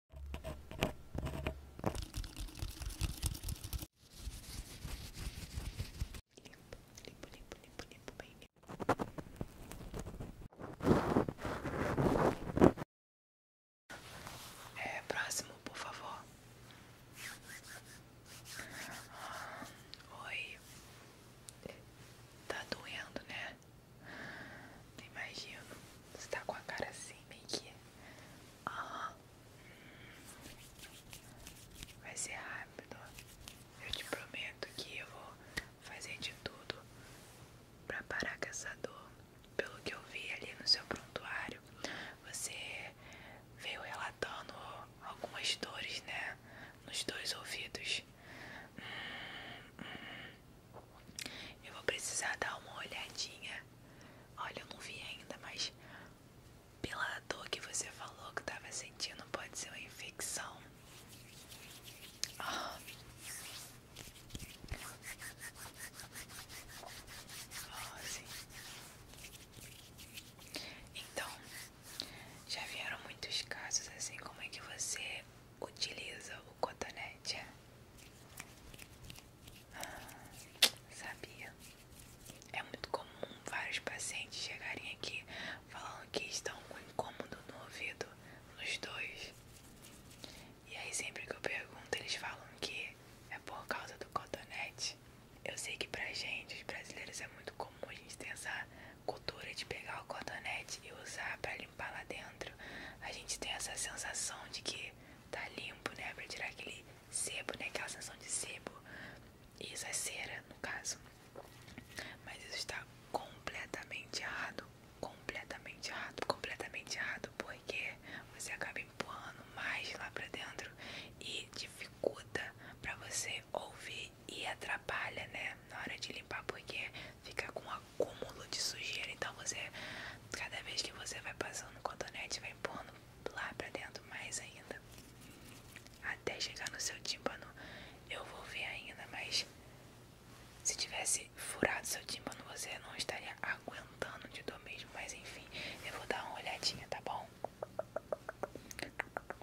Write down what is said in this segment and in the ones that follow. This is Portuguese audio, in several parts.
Limpo, limpo, limpo, limpo, limpo, bem limpo. É, próximo, por favor. oi. Tá doendo, né? Não imagino. Você tá com a cara assim, meio que. Ah. Vai ser rápido. Eu te prometo que eu vou fazer de tudo pra parar com essa dor. Pelo que eu vi ali no seu prontuário, você veio relatando algumas dores, né? Nos dois ouvidos. Hum, hum. Eu vou precisar dar uma olhadinha. Olha, eu não vi ainda, mas pela dor que você falou que tava sentindo, pode ser uma infecção. Oh. Oh, sim. Então, já vieram muitos casos assim, como é que você utiliza o cotonete. Ah, sabia. É muito comum vários pacientes chegarem aqui falando que estão com incômodo no ouvido, nos dois. E aí sempre que eu pergunto, eles falam que é por causa do cotonete. Eu sei que pra gente, os brasileiros, é muito comum a gente ter essa cultura de pegar o cotonete e usar pra limpar lá dentro. A gente tem essa sensação de que tá limpo, né? Pra tirar aquele sebo, né? Aquela sensação de sebo. Isso é cera, no caso. Mas isso está completamente errado. Completamente errado. Completamente errado. Porque você acaba empurrando mais lá pra dentro e dificulta pra você ouvir e atrapalha, né? Na hora de limpar, porque fica com a acúmulo de sujeira. Então você, cada vez que você vai passando o cotonete, vai empurrando lá pra dentro mais ainda. Até chegar no seu tímpano, eu vou ver ainda, mas se tivesse furado seu tímpano, você não estaria aguentando de dor mesmo. Mas enfim, eu vou dar uma olhadinha, tá bom?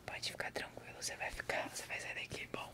Pode ficar tranquilo, você vai ficar, você vai sair daqui bom.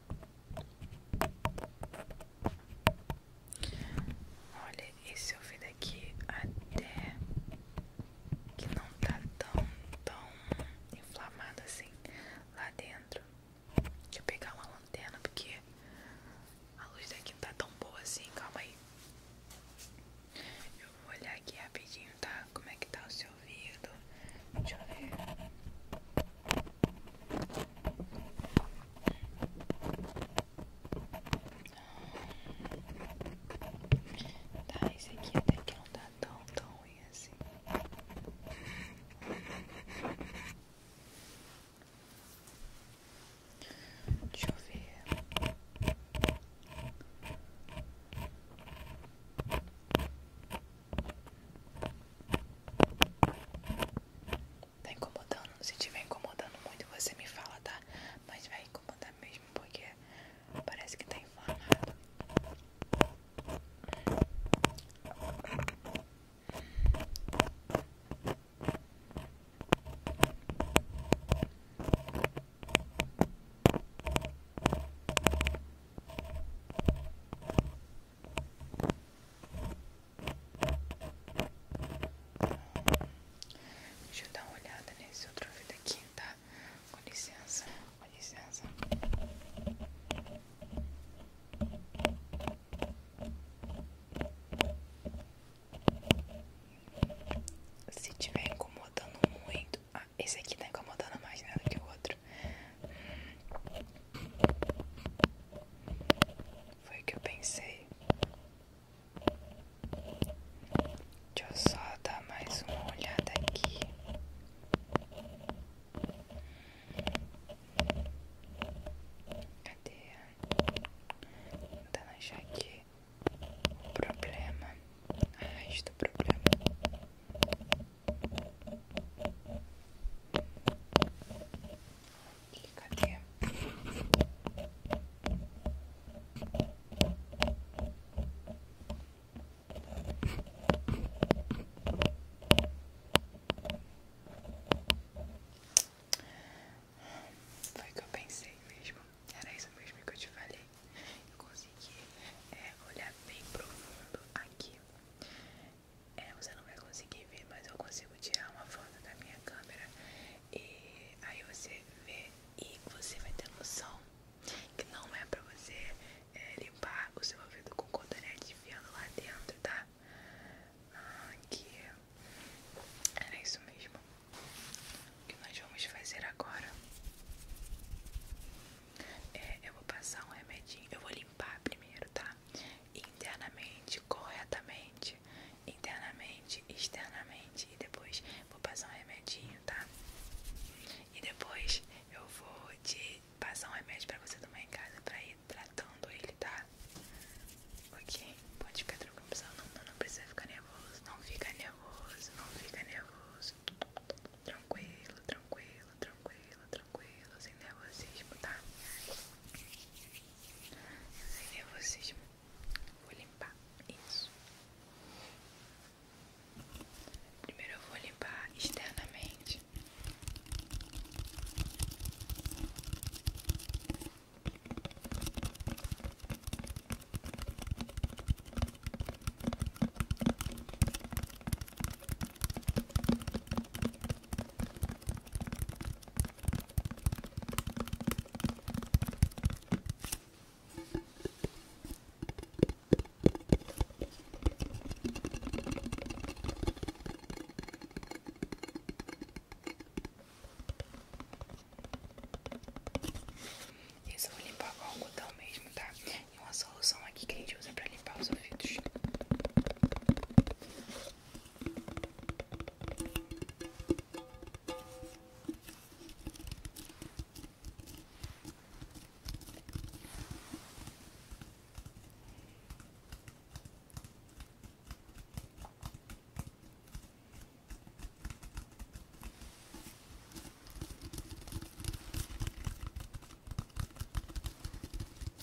Olha, esse ouvido aqui até que não tá tão, tão inflamado assim lá dentro. Deixa eu pegar uma lanterna porque a luz daqui não tá tão boa assim, calma aí. Eu vou olhar aqui rapidinho, tá? Como é que tá o seu ouvido? Deixa eu ver. Tá, esse aqui até que não tá tão, tão ruim assim. Deixa eu ver. Tá incomodando? Se tiver incomodando muito, você me fala, tá? Mas vai incomodar mesmo, porque parece que tá inflamado. Deixa eu dar uma olhada nesse outro vídeo aqui, tá? Com licença, com licença. Se estiver incomodando muito. Ah, esse aqui tá incomodando mais do que o outro. Foi o que eu pensei. Deixa eu só dar mais uma olhada aqui. Cadê? Tentando tá achar aqui o problema. A raiz do problema. E cadê? Foi o que eu pensei mesmo. Era isso mesmo que eu te falei. Eu consegui é, olhar bem profundo aqui. É, você não vai conseguir ver, mas eu consigo tirar uma foto da minha câmera e aí você vê e você vai ter noção que não é pra você é, limpar o seu ouvido com cotonete enfiando lá dentro, tá? Ah, que era isso mesmo. O que nós vamos fazer agora? É, eu vou passar um remedinho, eu vou limpar primeiro, tá? internamente, corretamente, internamente, externamente e depois vou passar um remedinho, tá? E depois eu vou te passar um remédio pra você tomar em casa pra ir tratando ele, tá? Ok? Pode ficar tranquilo, não, não, não precisa ficar nervoso, não fica nervoso, não fica nervoso. Tranquilo, tranquilo, tranquilo, tranquilo tranquilo, sem nervosismo, tá? Sem nervosismo. Vou limpar isso. Primeiro eu vou limpar externamente. Isso eu vou limpar com o cotão mesmo, tá? e uma solução aqui que a gente usa para limpar os ouvidos.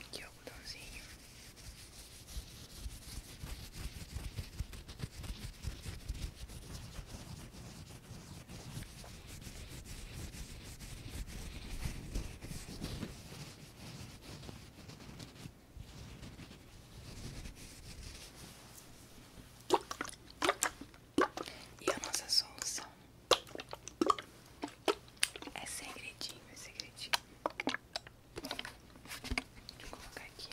Aqui o algodãozinho. E a nossa solução é segredinho, é segredinho. colocar aqui.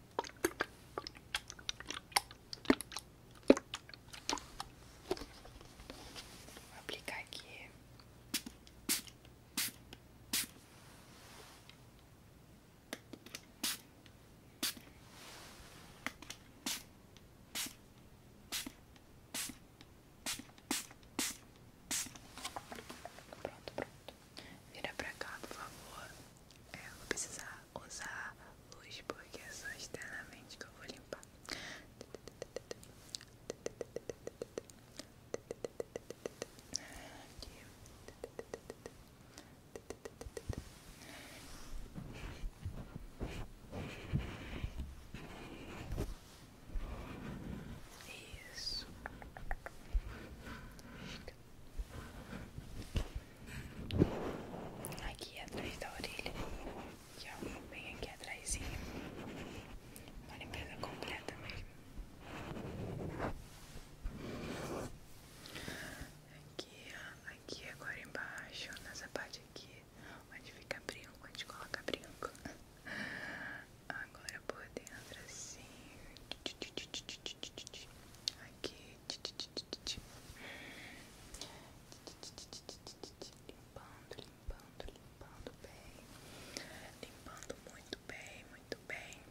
Vou aplicar aqui. Pronto, pronto. Vira pra cá, por favor. É, eu vou precisar usar luz porque é só externamente que eu vou limpar. Isso. Aqui atrás da orelha, que é bem aqui atrás, uma limpeza completa mesmo. Aqui, aqui agora embaixo, nessa parte aqui, onde fica brinco, onde coloca brinco. Agora por dentro assim. Aqui. Limpando, limpando, limpando bem. Limpando muito bem, muito bem.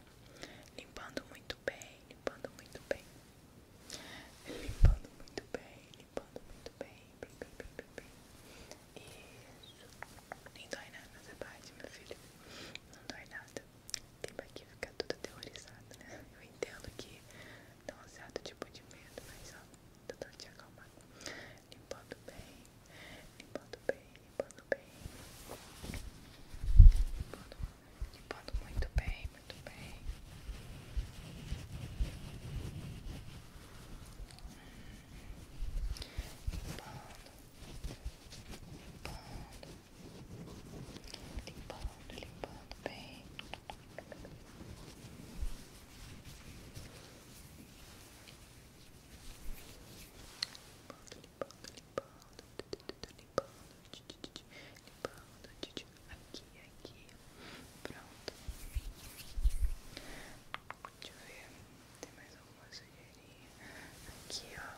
Limpando muito bem, limpando muito bem. Limpando muito bem, limpando muito bem. muito bem, bem, bem, bem. Isso. Nem dói nada nessa parte, meu filho. Não dói nada nada. Tem que ficar tudo aterrorizado, né? Eu entendo que dá um certo tipo de medo, mas ó, tentando te acalmar. Limpando bem, limpando bem, limpando bem. Limpando, limpando muito bem, muito bem. Limpando, limpando. Lip out, lip out the pain. Aqui, aqui. Pronto. Deixa eu ver. Tem mais alguma sujeirinha. Aqui, ó.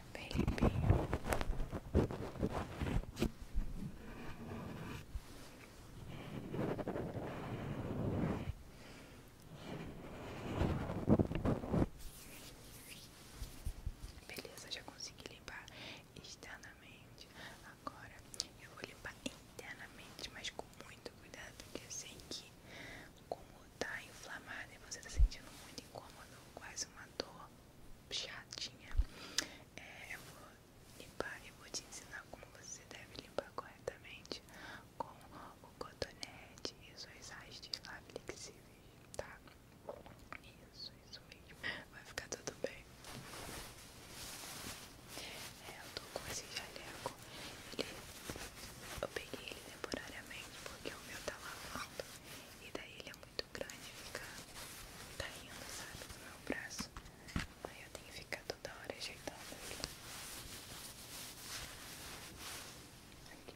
bem limpinho. Beleza, já consegui limpar externamente. Agora eu vou limpar internamente, mas com muito cuidado, porque eu sei que como tá inflamada e você tá sentindo muito incômodo, quase uma dor, chatinha. É, eu vou limpar e vou te ensinar como você deve limpar corretamente com o cotonete e suas hastes lá flexíveis, tá? Isso, isso mesmo. Vai ficar tudo bem. É, eu tô com esse jaleco. eu peguei ele temporariamente porque o meu tá lavando. E daí ele é muito muito grande ficar caindo, sabe, no meu braço. Aí eu tenho que ficar toda hora ajeitando aqui. aqui.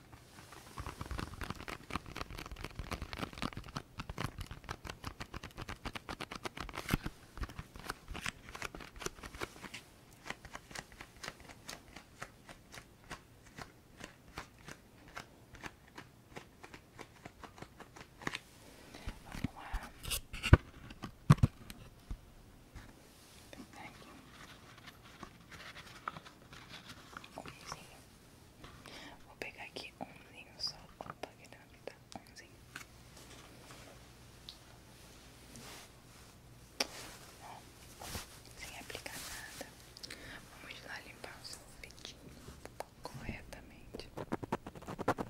Thank you. Oh, you see, Vou pegar aqui umzinho só. Opa, que não tá umzinho. Ó, sem aplicar nada. Vamos lá limpar o sorvetinho corretamente. Vamos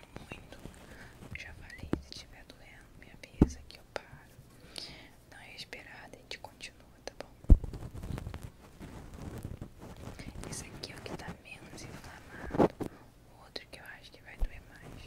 muito. Já falei, se estiver doendo, minha avisa aqui eu paro. Não é esperada, a gente continua, tá bom? Esse aqui é o que tá menos inflamado. O outro que eu acho que vai doer mais.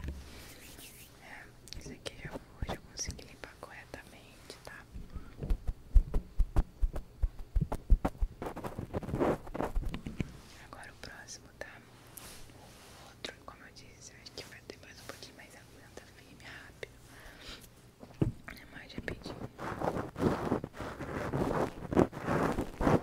É, isso aqui já vou, já consegui limpar corretamente, tá? Agora o próximo, tá? O outro, como eu disse, eu acho que vai ter mais um pouquinho, mais aguenta tá firme, rápido. É mais rapidinho.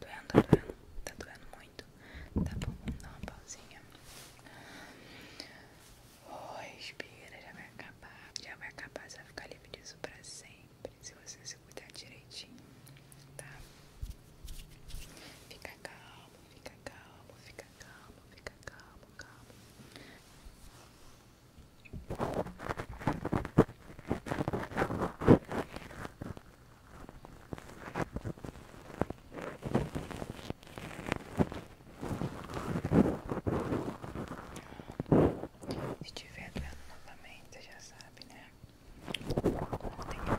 Doendo, tá doendo, tá doendo muito. Tá bom, vamos dar uma pausinha. Oi, oh, espira, já vai acabar. Já vai acabar, você vai ficar livre disso pra sempre. Se você se cuidar direitinho, tá? Fica calmo, fica calmo, fica calmo, fica calmo, calmo. Se estiver doendo novamente, já sabe, né? Não tenha medo.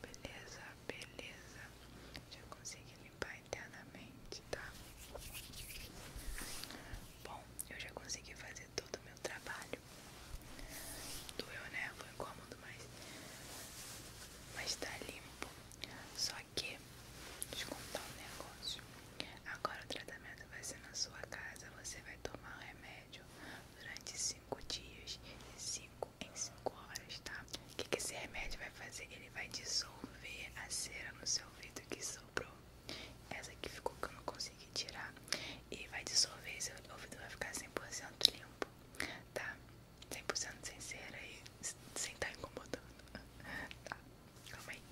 beleza, beleza. Já consegui limpar internamente, tá? Bom, eu já consegui fazer todo o meu trabalho. Doeu, né? Foi incômodo, mas. Mas tá limpo. Só que, deixa eu um negócio. Agora o tratamento vai ser na sua casa. Você vai tomar o remédio durante 5 dias. 5 em 5 horas, tá? O que, esse remédio vai fazer? Ele vai dissolver a cera no seu ouvido que sobrou. Essa que ficou que eu não consegui tirar. E vai dissolver, seu ouvido vai ficar 100% limpo, tá? 100% sem cera e sem estar tá incomodando. Tá, calma aí.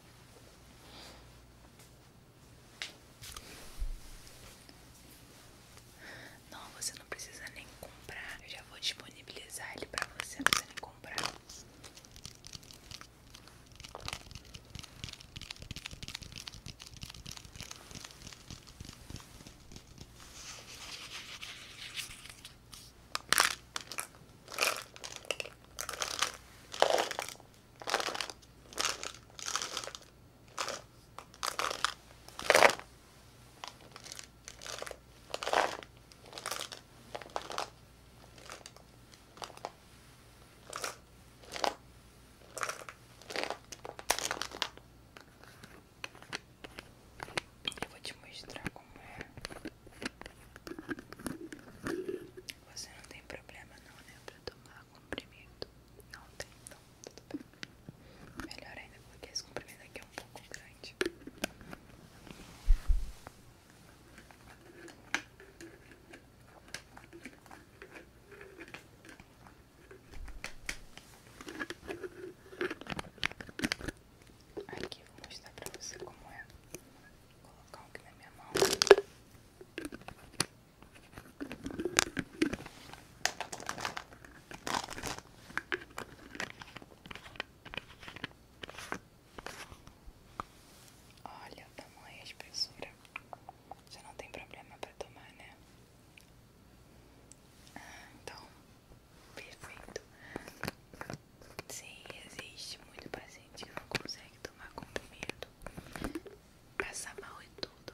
Não, você não precisa nem comprar. Eu já vou disponibilizar ele pra você, não precisa nem comprar. Eu vou te mostrar como é. Você não tem problema não, né? para tomar comprimido. Não tem, Melhor ainda porque esse comprimento aqui é um pouco grande. Aqui vou mostrar pra você como é. Vou colocar o que na minha mão. Olha o tamanho e espessura. Já não tem problema pra tomar, né? Ah, então, perfeito. Sim, existe muito paciente que não consegue tomar com medo, passa mal e tudo.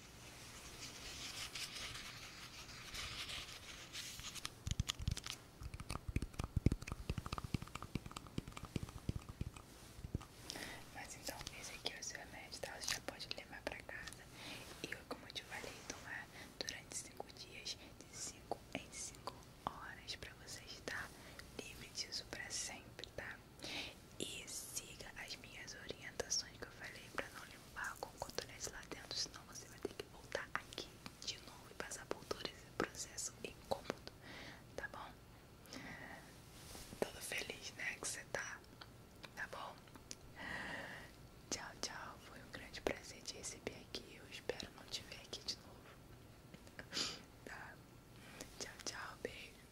Mas então, esse aqui é o seu remédio, tá? Você já pode levar pra casa. E eu, como eu te falei, tomar durante 5 dias, de 5 em 5 horas, pra você estar tá? livre disso pra sempre, tá? E siga as minhas orientações que eu falei pra não limpar com cotonete lá dentro, senão você vai ter que voltar aqui de novo e passar por todo esse processo incômodo, tá bom? Tudo feliz, né? Que você tá, tá bom? Tchau, tchau. Foi um grande prazer te receber aqui. Eu espero não te ver aqui de novo. Tá? Tchau, tchau, beijo.